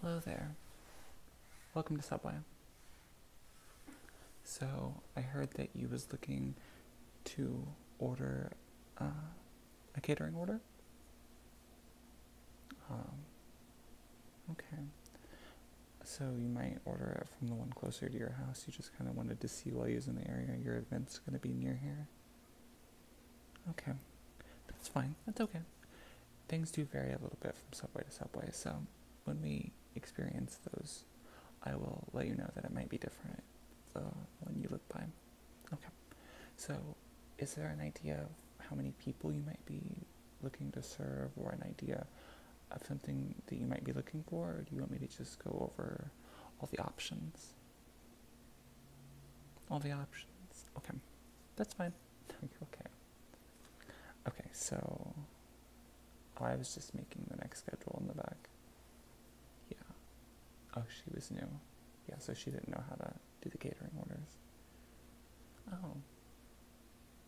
Hello there. Welcome to Subway. So, I heard that you was looking to order uh, a catering order? Um, okay. So you might order it from the one closer to your house. You just kind of wanted to see while you was in the area. Your event's going to be near here. Okay, that's fine. That's okay. Things do vary a little bit from subway to subway, so when we experience those, I will let you know that it might be different the uh, one you look by. Okay, so is there an idea of how many people you might be looking to serve, or an idea of something that you might be looking for, or do you want me to just go over all the options? all the options. Okay, that's fine. No, okay. Okay, so I was just making the next schedule in the back. Yeah. Oh, she was new. Yeah, so she didn't know how to do the catering orders. Oh.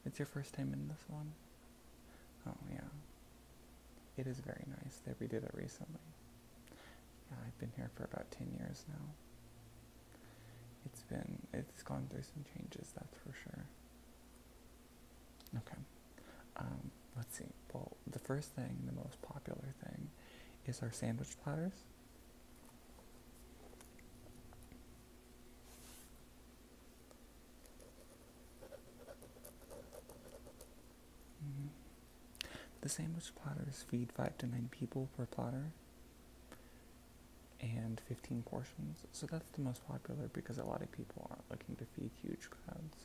It's your first time in this one? Oh, yeah. It is very nice. They redid it recently. Yeah, I've been here for about 10 years now. It's been, it's gone through some changes, that's for sure. Okay, um, let's see. Well, the first thing, the most popular thing, is our sandwich platters. Mm-hmm. The sandwich platters feed 5 to 9 people per platter and 15 portions. So that's the most popular because a lot of people aren't looking to feed huge crowds.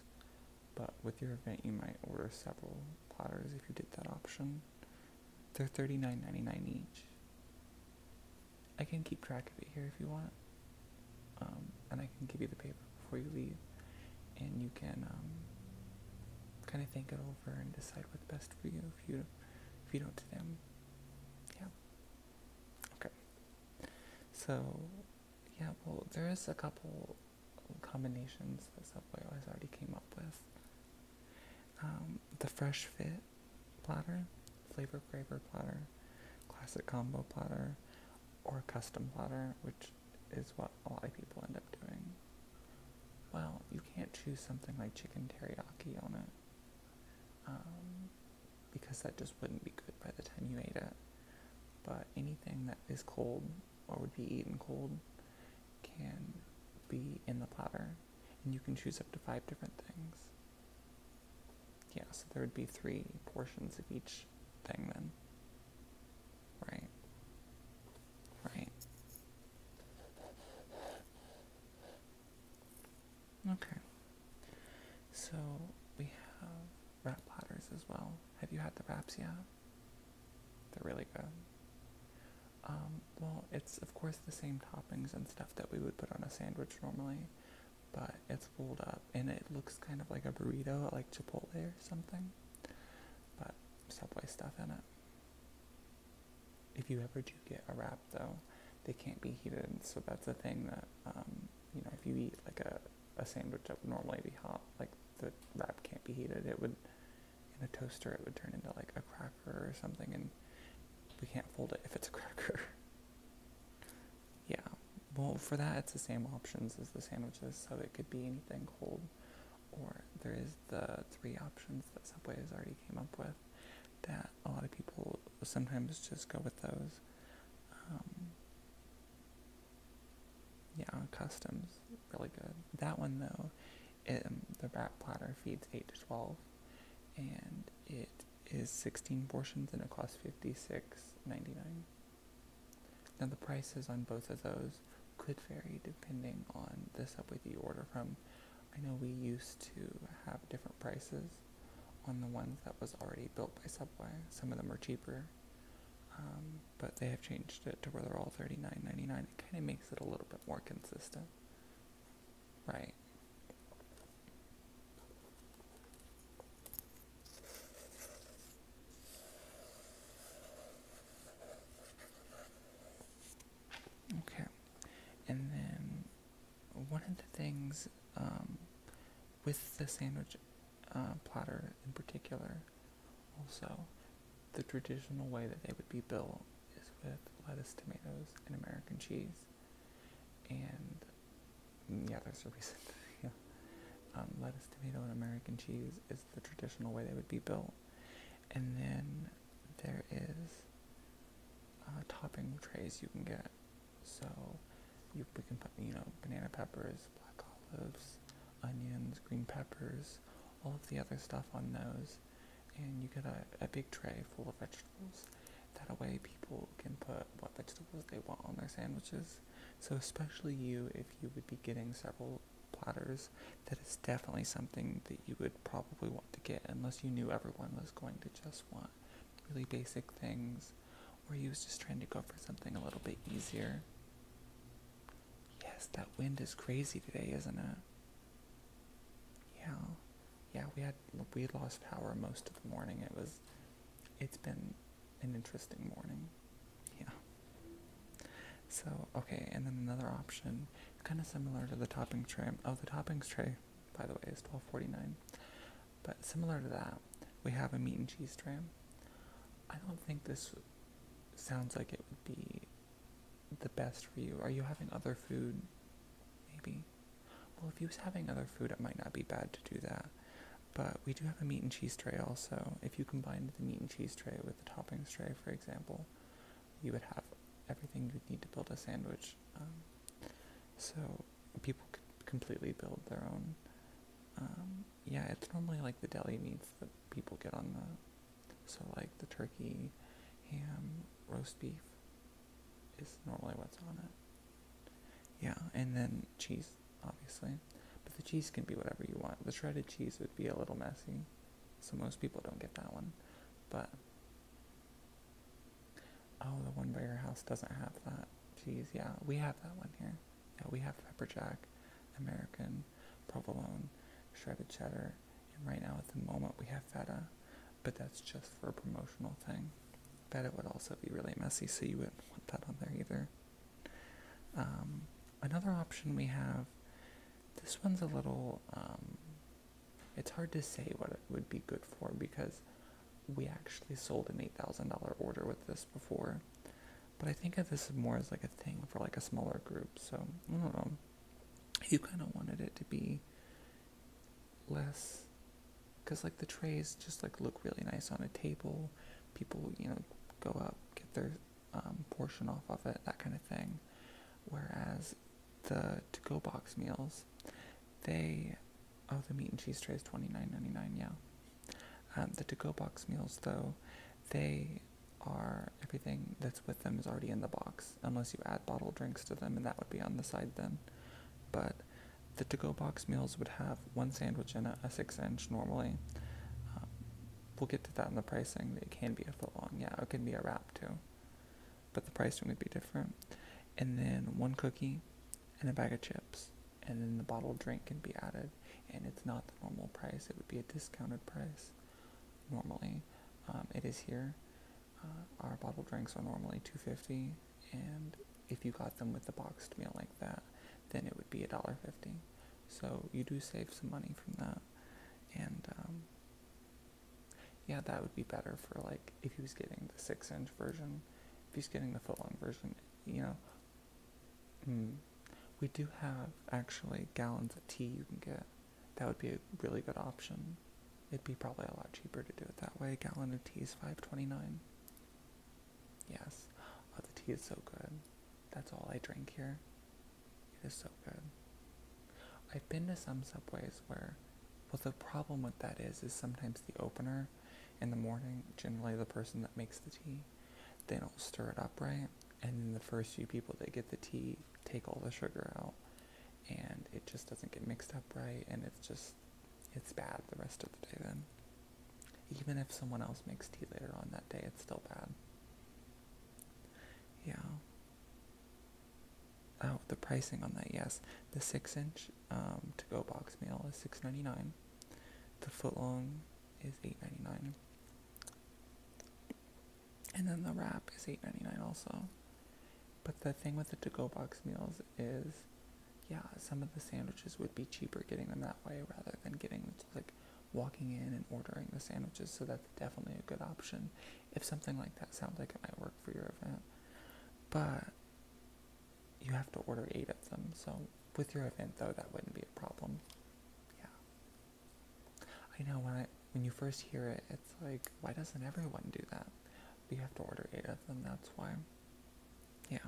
But with your event, you might order several platters if you did that option. They're $39.99 each. I can keep track of it here if you want. Um, and I can give you the paper before you leave. And you can um, kind of think of. over and decide what's best for you if you if you don't do them. Yeah. Okay. So yeah, well there is a couple combinations that Subway always already came up with. Um, the Fresh Fit platter, Flavor Craver platter, Classic Combo platter, or Custom platter, which is what a lot of people end up doing. Well, you can't choose something like chicken teriyaki on it. Um, because that just wouldn't be good by the time you ate it. But anything that is cold or would be eaten cold can be in the platter, and you can choose up to five different things. Yeah, so there would be three portions of each thing then. Right. Right. Okay. So we have wrap platters as well. Have you had the wraps yet? They're really good. Um, well, it's of course the same toppings and stuff that we would put on a sandwich normally, but it's rolled up and it looks kind of like a burrito, like Chipotle or something, but Subway stuff in it. If you ever do get a wrap, though, they can't be heated, so that's a thing that um, you know. If you eat like a, a sandwich that would normally be hot, like the wrap can't be heated. It would in a toaster, it would turn into like a cracker or something, and we can't fold it if it's a cracker. yeah. Well, for that, it's the same options as the sandwiches, so it could be anything cold or there is the three options that Subway has already came up with that a lot of people sometimes just go with those. Um, yeah, customs really good. That one though, it, um, the wrap platter feeds eight to twelve, and it is sixteen portions and it costs fifty six ninety nine. Now the prices on both of those could vary depending on the subway you order from. I know we used to have different prices on the ones that was already built by Subway. Some of them are cheaper, um, but they have changed it to where they're all thirty nine ninety nine. It kind of makes it a little bit more consistent, right? Okay. And then one of the things um, with the sandwich uh, platter in particular, also, the traditional way that they would be built is with lettuce, tomatoes, and American cheese. And mm, yeah, there's a reason. yeah. Um, lettuce, tomato, and American cheese is the traditional way they would be built. And then there is topping trays you can get. So you, we can put, you know, banana peppers, black olives, onions, green peppers, all of the other stuff on those. And you get a, a big tray full of vegetables. That way people can put what vegetables they want on their sandwiches. So especially you, if you would be getting several platters, that is definitely something that you would probably want to get unless you knew everyone was going to just want really basic things or you was just trying to go for something a little bit easier. Yes, that wind is crazy today, isn't it? Yeah. Yeah, we had we had lost power most of the morning. It was it's been an interesting morning. Yeah. So, okay, and then another option, kind of similar to the toppings tray. Oh, the toppings tray, by the way, is twelve forty nine. But similar to that, we have a meat and cheese tray. I don't think this sounds like it would be the best for you. Are you having other food? Maybe. Well, if you was having other food, it might not be bad to do that. But we do have a meat and cheese tray also. If you combined the meat and cheese tray with the toppings tray, for example, you would have everything you'd need to build a sandwich. Um, so people could completely build their own. Um, yeah, it's normally like the deli meats that people get on the. So like the turkey, ham, roast beef, is normally what's on it. Yeah, and then cheese, obviously. But the cheese can be whatever you want. The shredded cheese would be a little messy. So most people don't get that one. But oh, the one by your house doesn't have that. Jeez, yeah, we have that one here. Yeah, we have pepper jack, American, provolone, shredded cheddar, and right now at the moment we have feta, but that's just for a promotional thing. it would also be really messy, so you wouldn't want that on there either. Um, another option we have, this one's a little, um, it's hard to say what it would be good for because we actually sold an $8,000 order with this before. But I think of this more as like a thing for like a smaller group. So I don't know. You kind of wanted it to be less, because like the trays just like look really nice on a table. People, you know, go up, get their um, portion off of it, that kind of thing. Whereas the to go box meals, they oh the meat and cheese trays twenty nine ninety nine yeah. Um, the to go box meals though, they are everything that's with them is already in the box unless you add bottled drinks to them and that would be on the side then. But the to go box meals would have one sandwich in a six inch normally. Um, we'll get to that in the pricing. It can be a foot long, yeah, it can be a wrap too, but the pricing would be different. And then one cookie and a bag of chips, and then the bottled drink can be added. And it's not the normal price, it would be a discounted price normally. Um, it is here. Uh, our bottled drinks are normally 250 and if you got them with the boxed meal like that, then it would be $1.50. So you do save some money from that and um, yeah, that would be better for like if he was getting the six inch version. If he's getting the foot long version, you know. Hmm. we do have actually gallons of tea you can get. That would be a really good option. It'd be probably a lot cheaper to do it that way. A gallon of tea is five twenty nine. Yes. Oh, the tea is so good. That's all I drink here. It is so good. I've been to some subways where, well, the problem with that is, is sometimes the opener in the morning, generally the person that makes the tea, they don't stir it up right, and then the first few people that get the tea take all the sugar out, and it just doesn't get mixed up right, and it's just, it's bad the rest of the day then. Even if someone else makes tea later on that day, it's still bad. Yeah. Oh, the pricing on that, yes. The six inch um, to go box meal is six ninety nine. The foot long is eight ninety nine. And then the wrap is eight ninety nine also. But the thing with the to go box meals is yeah, some of the sandwiches would be cheaper getting them that way rather than getting like walking in and ordering the sandwiches, so that's definitely a good option if something like that sounds like it might work for your event. But you have to order eight of them, so with your event though, that wouldn't be a problem. Yeah. I know when I when you first hear it, it's like, why doesn't everyone do that? We have to order eight of them, that's why. Yeah.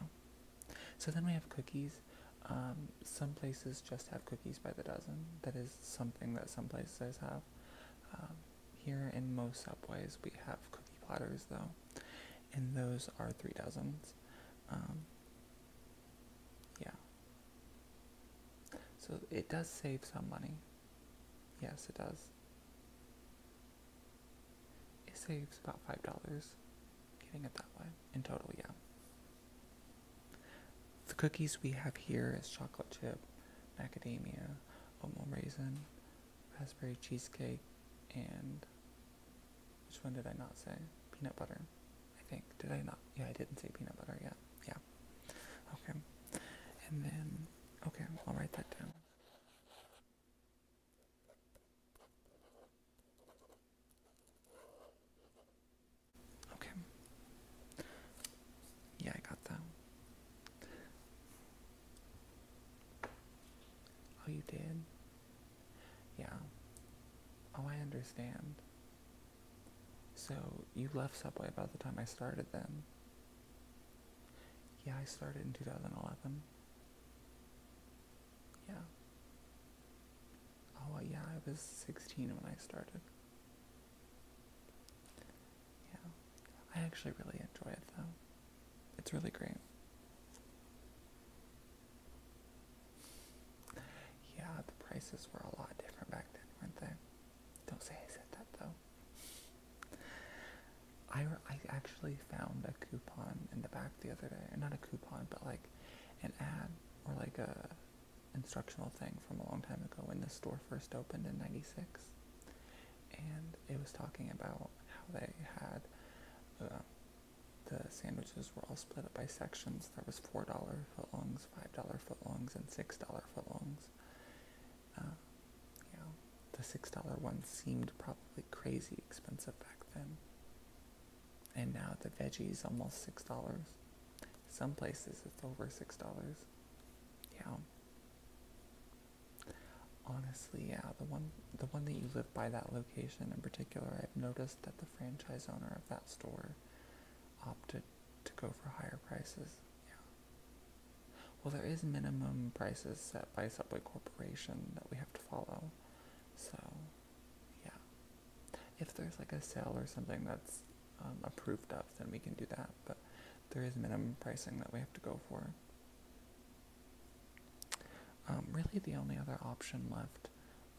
So then we have cookies. Um, some places just have cookies by the dozen. That is something that some places have. Um, here in most subways, we have cookie platters though, and those are three dozens. Um, yeah. So it does save some money. Yes, it does. It saves about $5 Getting it that way? In total, yeah. The cookies we have here is chocolate chip, macadamia, oatmeal raisin, raspberry cheesecake, and which one did I not say? Peanut butter, I think. Did I not? Yeah, I didn't say peanut butter yet. Yeah. Okay. And then, okay, I'll write that down. Okay. Yeah, I got that. Oh, you did? Yeah. Oh, I understand. So, you left Subway about the time I started then? Yeah, I started in 2011. Yeah. Oh, yeah, I was 16 when I started. Yeah. I actually really enjoy it, though. It's really great. Yeah, the prices were a lot different back then, weren't they? Don't say I said that, though. I, I actually found a coupon in the back the other day. Not a coupon, but like an ad or like a instructional thing from a long time ago when the store first opened in 96 and it was talking about how they had uh, the sandwiches were all split up by sections there was $4 footlongs $5 footlongs and $6 footlongs uh, you know the $6 one seemed probably crazy expensive back then and now the veggie's almost six dollars. Some places it's over six dollars. Yeah. Honestly, yeah, the one the one that you live by that location in particular, I've noticed that the franchise owner of that store opted to go for higher prices. Yeah. Well, there is minimum prices set by Subway Corporation that we have to follow. So, yeah. If there's like a sale or something that's um, approved of, then we can do that. But there is minimum pricing that we have to go for. Um, really, the only other option left,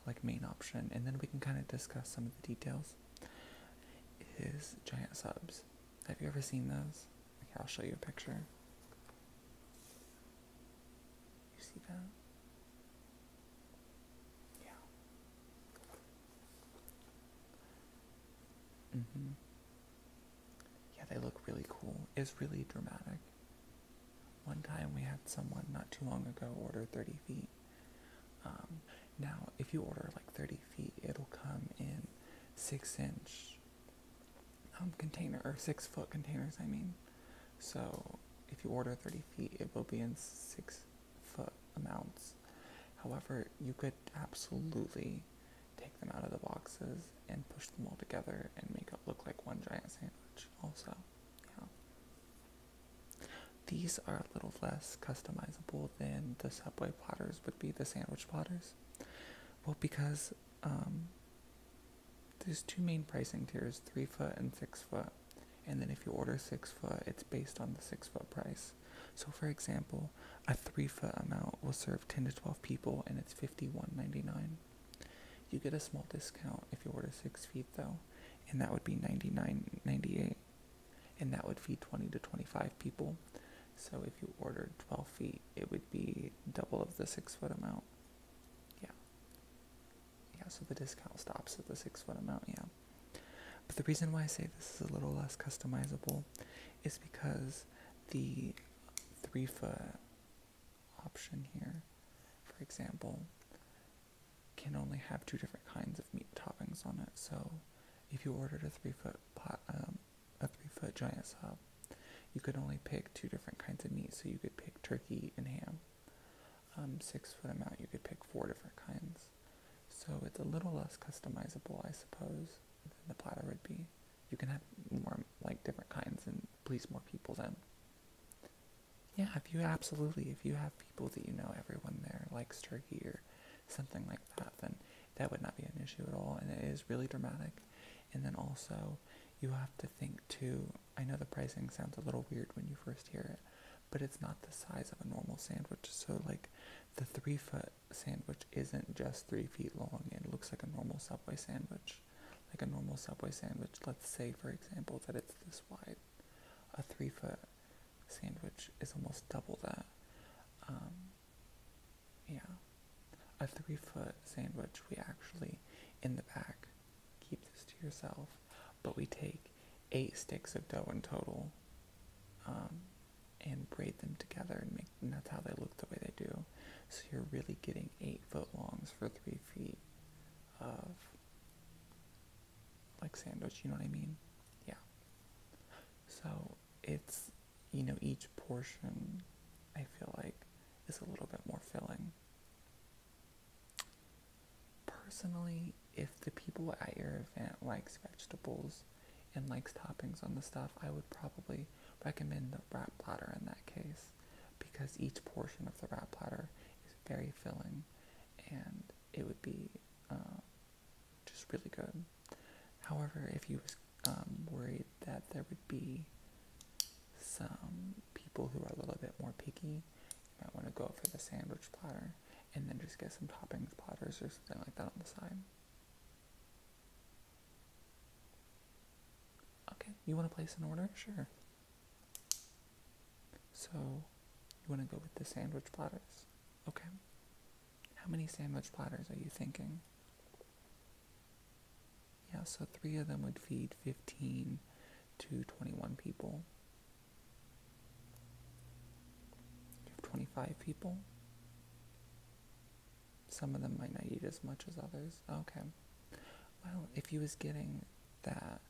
like main option, and then we can kind of discuss some of the details, is giant subs. Have you ever seen those? Okay, I'll show you a picture. You see that? Yeah. Mm-hmm. Yeah, they look really cool. It's really dramatic. One time we had someone not too long ago order 30 feet. Um, now, if you order like 30 feet, it'll come in six inch um, container or six foot containers, I mean. So if you order 30 feet, it will be in six foot amounts. However, you could absolutely take them out of the boxes and push them all together and make it look like one giant sandwich, also. Yeah. These are a little less customizable than the Subway platters would be, the sandwich platters. Well, because um, there's two main pricing tiers, three foot and six foot. And then if you order six foot, it's based on the six foot price. So for example, a three foot amount will serve 10 to 12 people and it's $51.99. You get a small discount if you order six feet though, and that would be $99.98. And that would feed 20 to 25 people. So if you ordered 12 feet, it would be double of the six foot amount. Yeah yeah, so the discount stops at the six foot amount, yeah. But the reason why I say this is a little less customizable is because the three foot option here, for example, can only have two different kinds of meat toppings on it. So if you ordered a three foot um, a three foot giant sub, you could only pick two different kinds of meat. So you could pick turkey and ham um, six foot amount, you could pick four different kinds. So it's a little less customizable, I suppose, than the platter would be. You can have more like different kinds and please more people then. Yeah, if you absolutely, if you have people that you know, everyone there likes turkey or something like that, then that would not be an issue at all. And it is really dramatic. And then also, you have to think too I know the pricing sounds a little weird when you first hear it, but it's not the size of a normal sandwich. So like the three foot sandwich isn't just three feet long and looks like a normal subway sandwich. Like a normal subway sandwich, let's say for example that it's this wide. A three foot sandwich is almost double that. Um, yeah. A three foot sandwich, we actually in the back keep this to yourself but we take eight sticks of dough in total um, and braid them together and that's how they look the way they do so you're really getting eight foot longs for three feet of like sandwich you know what i mean yeah so it's you know each portion i feel like is a little bit more filling Personally, if the people at your event likes vegetables and likes toppings on the stuff, I would probably recommend the wrap platter in that case because each portion of the wrap platter is very filling and it would be um, just really good. However, if you was um, worried that there would be some people who are a little bit more picky, you might want to go for the sandwich platter and then just get some toppings platters or something like that on the side. Okay, you want to place an order? Sure. So, you want to go with the sandwich platters? Okay. How many sandwich platters are you thinking? Yeah, so three of them would feed 15 to 21 people. 25 people. Some of them might not eat as much as others. Okay. Well, if you was getting that,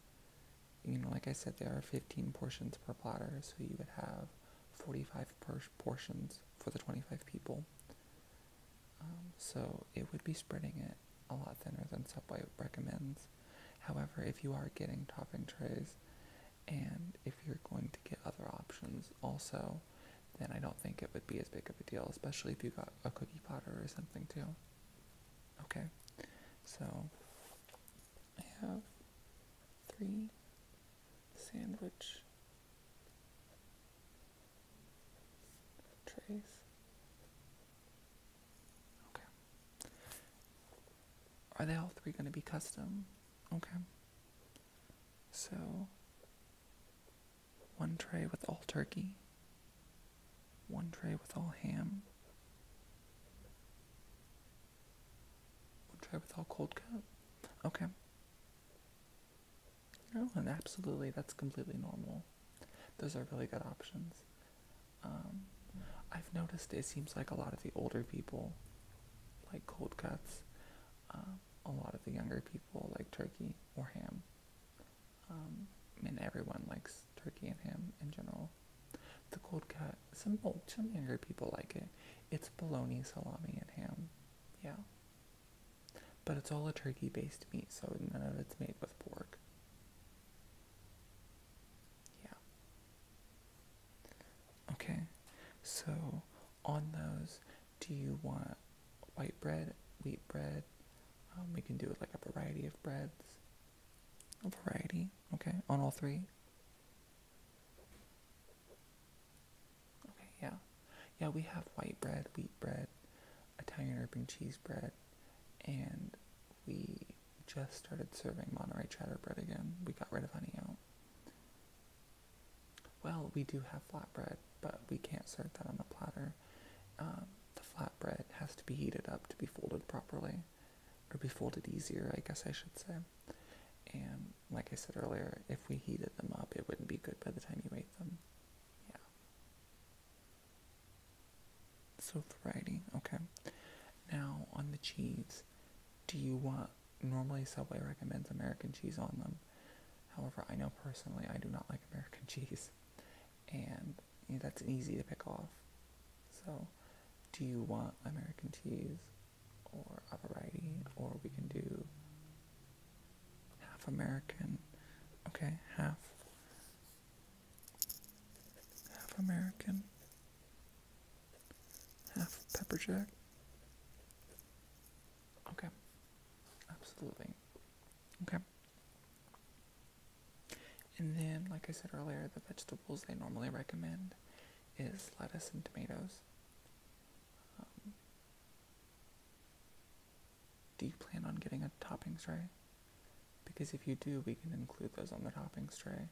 you know, like I said, there are 15 portions per platter, so you would have 45 portions for the 25 people. Um, so it would be spreading it a lot thinner than Subway recommends. However, if you are getting topping trays and if you're going to get other options also, then I don't think it would be as big of a deal, especially if you got a cookie platter or something too. Okay, so I have three sandwich trays. Okay. Are they all three going to be custom? Okay. So, one tray with all turkey, one tray with all ham, one tray with all cold cut. Okay. Oh, and absolutely, that's completely normal. Those are really good options. Um, I've noticed it seems like a lot of the older people like cold cuts, um, a lot of the younger people like turkey or ham. Um, and everyone likes turkey and ham in general. The cold cut, some old, some younger people like it. It's bologna, salami, and ham. Yeah. But it's all a turkey based meat, so none of it's made with pork. Yeah. Okay, so on those, do you want white bread, wheat bread? Um, we can do like a variety of breads. A variety, okay, on all three. Okay, yeah. Yeah, we have white bread, wheat bread, Italian urban cheese bread, and we just started serving Monterey cheddar bread again. We got rid of honey out. Well, we do have flatbread, but we can't serve that on the platter. Um, the flatbread has to be heated up to be folded properly, or be folded easier, I guess I should say. And like I said earlier, if we heated them up, it wouldn't be good by the time you ate them. Yeah. So variety, okay. Now on the cheese, do you want normally Subway recommends American cheese on them. However, I know personally I do not like American cheese, and that's easy to pick off. So, do you want American cheese or a variety, or we can do half American, okay, half half American, half pepperjack. Okay, absolutely. Okay. And then, like I said earlier, the vegetables they normally recommend is lettuce and tomatoes. Um, do you plan on getting a toppings tray? Because if you do, we can include those on the toppings tray.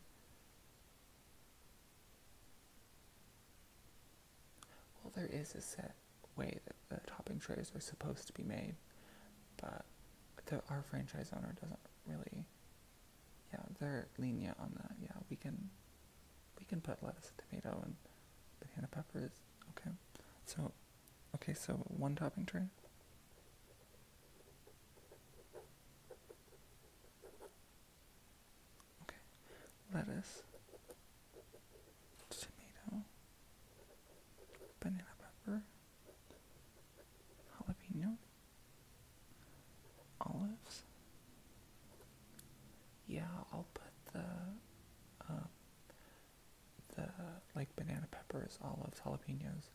Well, there is a set way that the topping trays are supposed to be made, but our franchise owner doesn't really. Yeah, they're lenient on that. Yeah, we can, we can put lettuce, tomato, and banana peppers. Okay, so Okay, so one topping tray. Okay, lettuce, tomato, banana pepper, jalapeno, olives. Yeah, I'll put the uh, the like banana peppers, olives, jalapenos,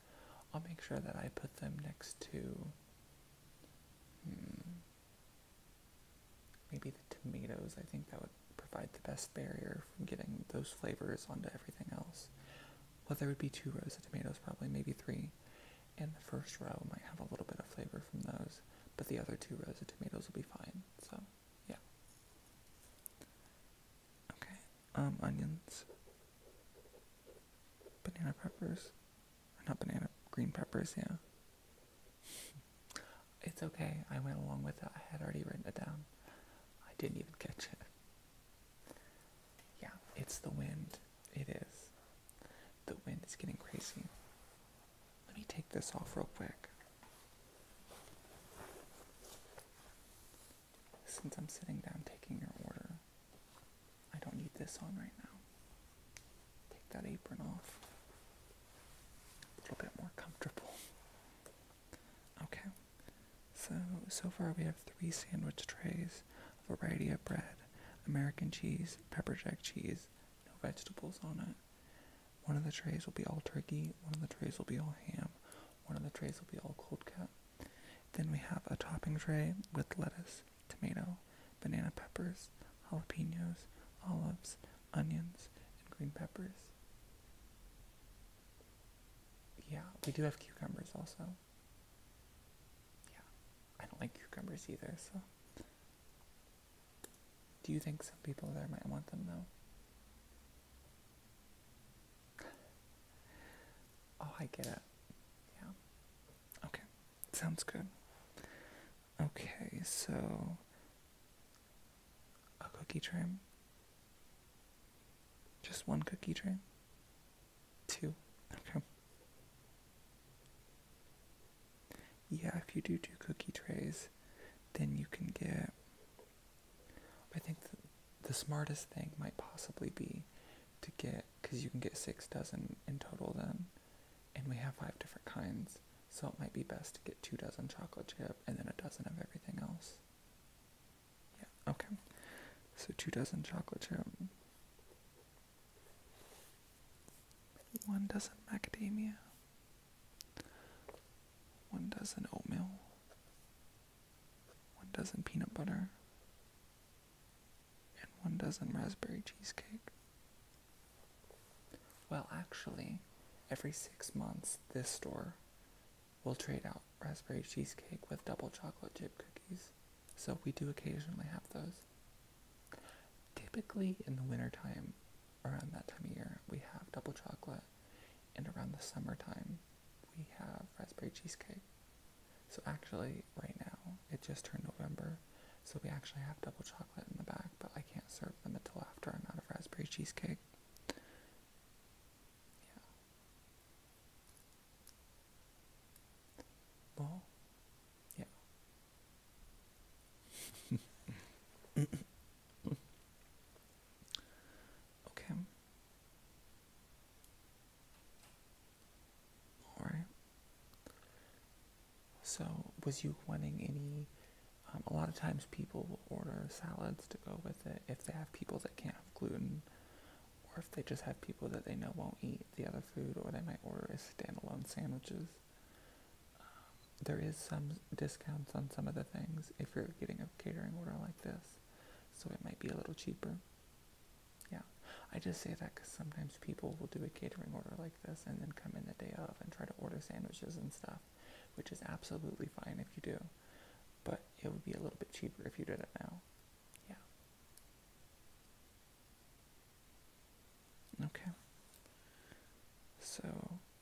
I'll make sure that I put them next to hmm, maybe the tomatoes. I think that would provide the best barrier from getting those flavors onto everything else. Well, there would be two rows of tomatoes, probably maybe three. And the first row might have a little bit of flavor from those, but the other two rows of tomatoes will be fine. So, yeah. Okay, um, onions, banana peppers, or not banana, green peppers, yeah. it's okay, I went along with it, I had already written it down. I didn't even catch it. Yeah, it's the wind, it is. The wind is getting crazy. Let me take this off real quick. Since I'm sitting down taking your order, I don't need this on right now. Take that apron off. A little bit more comfortable. Okay. So, so far we have three sandwich trays, a variety of bread, American cheese, pepper jack cheese, no vegetables on it, one of the trays will be all turkey, one of the trays will be all ham, one of the trays will be all cold cut. Then we have a topping tray with lettuce, tomato, banana peppers, jalapenos, olives, onions, and green peppers. Yeah, we do have cucumbers also. Yeah, I don't like cucumbers either, so. Do you think some people there might want them though? Oh, I get it. Yeah. Okay. Sounds good. Okay, so a cookie tray. Just one cookie tray. Two. Okay. Yeah, if you do two cookie trays, then you can get I think the, smartest thing might possibly be to get, because you can get six dozen in total then, and we have five different kinds, so it might be best to get two dozen chocolate chip and then a dozen of everything else. Yeah, okay. So two dozen chocolate chip. One dozen macadamia. One dozen oatmeal. One dozen peanut butter. And one dozen raspberry cheesecake. Well, actually, every six months, this store will trade out raspberry cheesecake with double chocolate chip cookies. So we do occasionally have those. Typically in the wintertime, around that time of year, we have double chocolate, and around the summertime, we have raspberry cheesecake. So actually, right now, it just turned November, so we actually have double chocolate in the back, but I can't serve them until after I'm out of raspberry cheesecake. Well, yeah. Okay. All right. So, was you wanting any? Um, a lot of times, people will order salads to go with it if they have people that can't have gluten, or if they just have people that they know won't eat the other food, or they might order as standalone sandwiches. Um, there is some discounts on some of the things if you're getting a catering order like this, so it might be a little cheaper. Yeah, I just say that because sometimes people will do a catering order like this and then come in the day of and try to order sandwiches and stuff, which is absolutely fine if you do, but it would be a little bit cheaper if you did it now. Yeah. Okay. So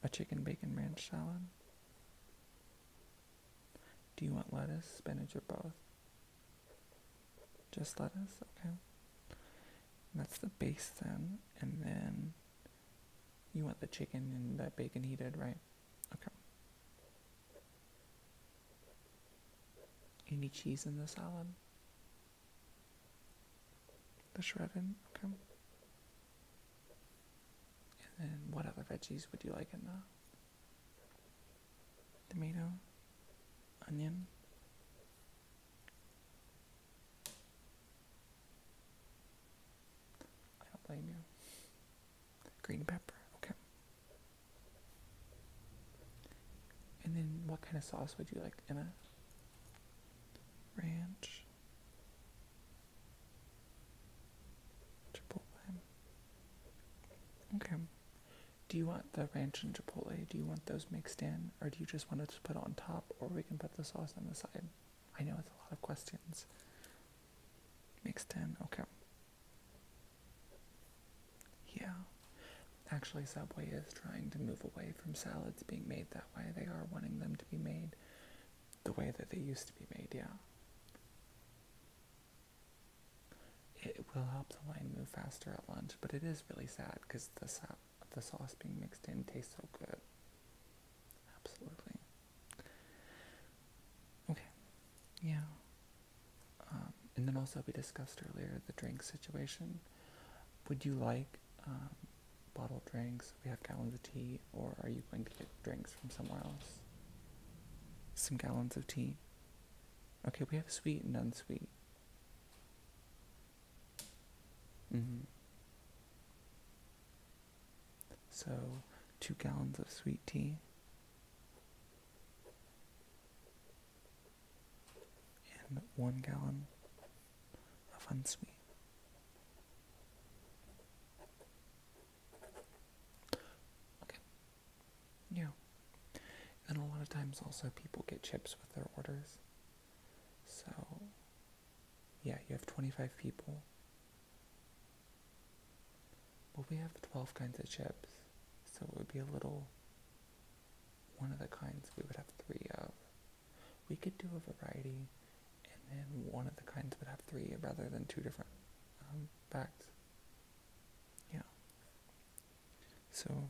a chicken bacon ranch salad? Do you want lettuce, spinach, or both? Just lettuce? Okay. that's the base then. And then you want the chicken and the bacon heated, right? Okay. Any cheese in the salad? The shredded? Okay. And then what other veggies would you like in the tomato, onion? Green pepper, okay. And then what kind of sauce would you like in it? Ranch. Chipotle. Okay. Do you want the ranch and chipotle? Do you want those mixed in, or do you just want it to put on top, or we can put the sauce on the side? I know it's a lot of questions. Mixed in, okay. Yeah. Actually, Subway is trying to move away from salads being made that way. They are wanting them to be made the way that they used to be made, yeah. It will help the line move faster at lunch, but it is really sad because the, sa the sauce being mixed in tastes so good. Absolutely. Okay, yeah. Um, and then also, we discussed earlier the drink situation. Would you like um, bottled drinks? We have gallons of tea, or are you going to get drinks from somewhere else? Some gallons of tea. Okay, we have sweet and unsweet. Mm -hmm. So, two gallons of sweet tea. And one gallon offends me. Okay. Yeah. And a lot of times also people get chips with their orders. So, yeah, you have 25 people. But we have 12 kinds of chips, so it would be a little. One of the kinds we would have three of. We could do a variety and then one of the kinds would have three rather than two different bags. Um, yeah. So.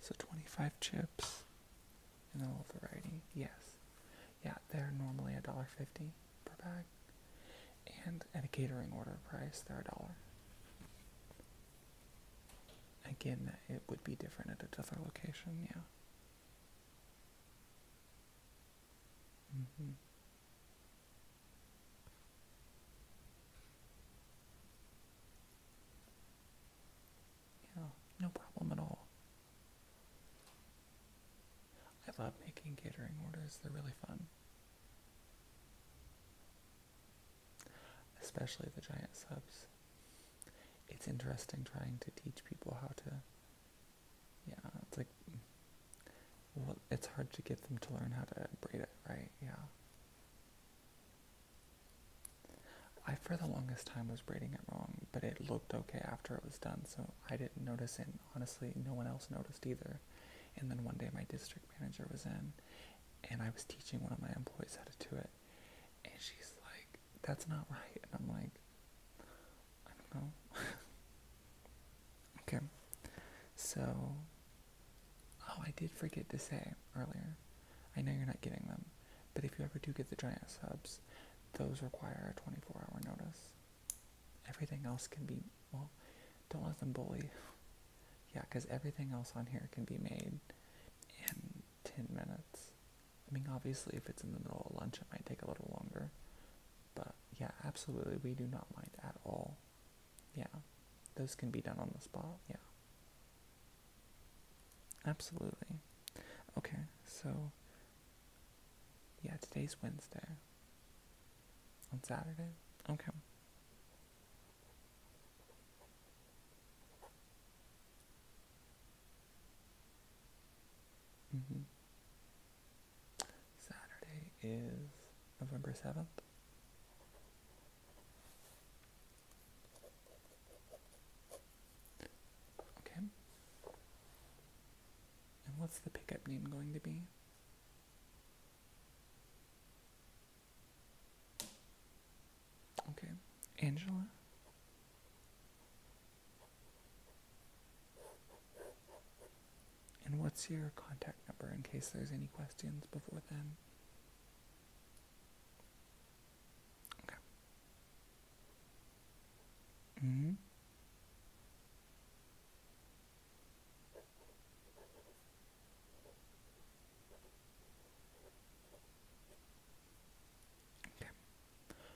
So 25 chips in the little variety. Yes. Yeah, they're normally $1.50 per bag and at a catering order price, they're a dollar. Again, it would be different at a different location, yeah. Mm-hmm. Yeah, no problem at all. I love making catering orders, they're really fun especially the giant subs. It's interesting trying to teach people how to. Yeah, it's like. Well, it's hard to get them to learn how to braid it, right? Yeah. I, for the longest time, was braiding it wrong, but it looked okay after it was done, so I didn't notice it. Honestly, no one else noticed either. And then one day my district manager was in and I was teaching one of my employees how to do it. And she's like, that's not right. And I'm like, I don't know. okay. So, oh, I did forget to say earlier. I know you're not getting them, but if you ever do get the giant subs, those require a 24 hour notice. Everything else can be, well, don't let them bully. Yeah, because everything else on here can be made in 10 minutes. I mean, obviously, if it's in the middle of lunch, it might take a little longer. But yeah, absolutely, we do not mind at all. Yeah, those can be done on the spot. Yeah. Absolutely. Okay, so yeah, today's Wednesday. On Saturday? Okay. Mm -hmm. Saturday is November 7th. Okay. And what's the pickup name going to be? Okay, Angela. And what's your contact number in case there's any questions before then? Okay. Mm hmm.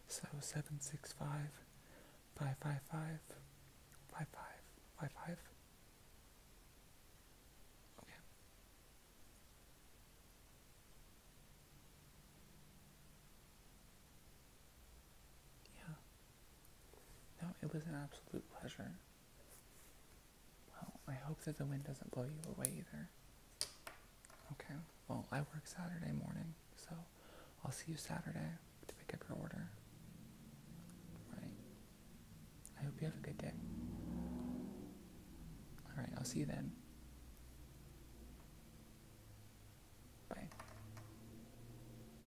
So seven six five five five five five five five five. Okay. Yeah. No, it was an absolute pleasure. Well, I hope that the wind doesn't blow you away either. Okay, well, I work Saturday morning, so I'll see you Saturday to pick up your order. Right. I hope you have a good day. Alright, I'll see you then. Bye.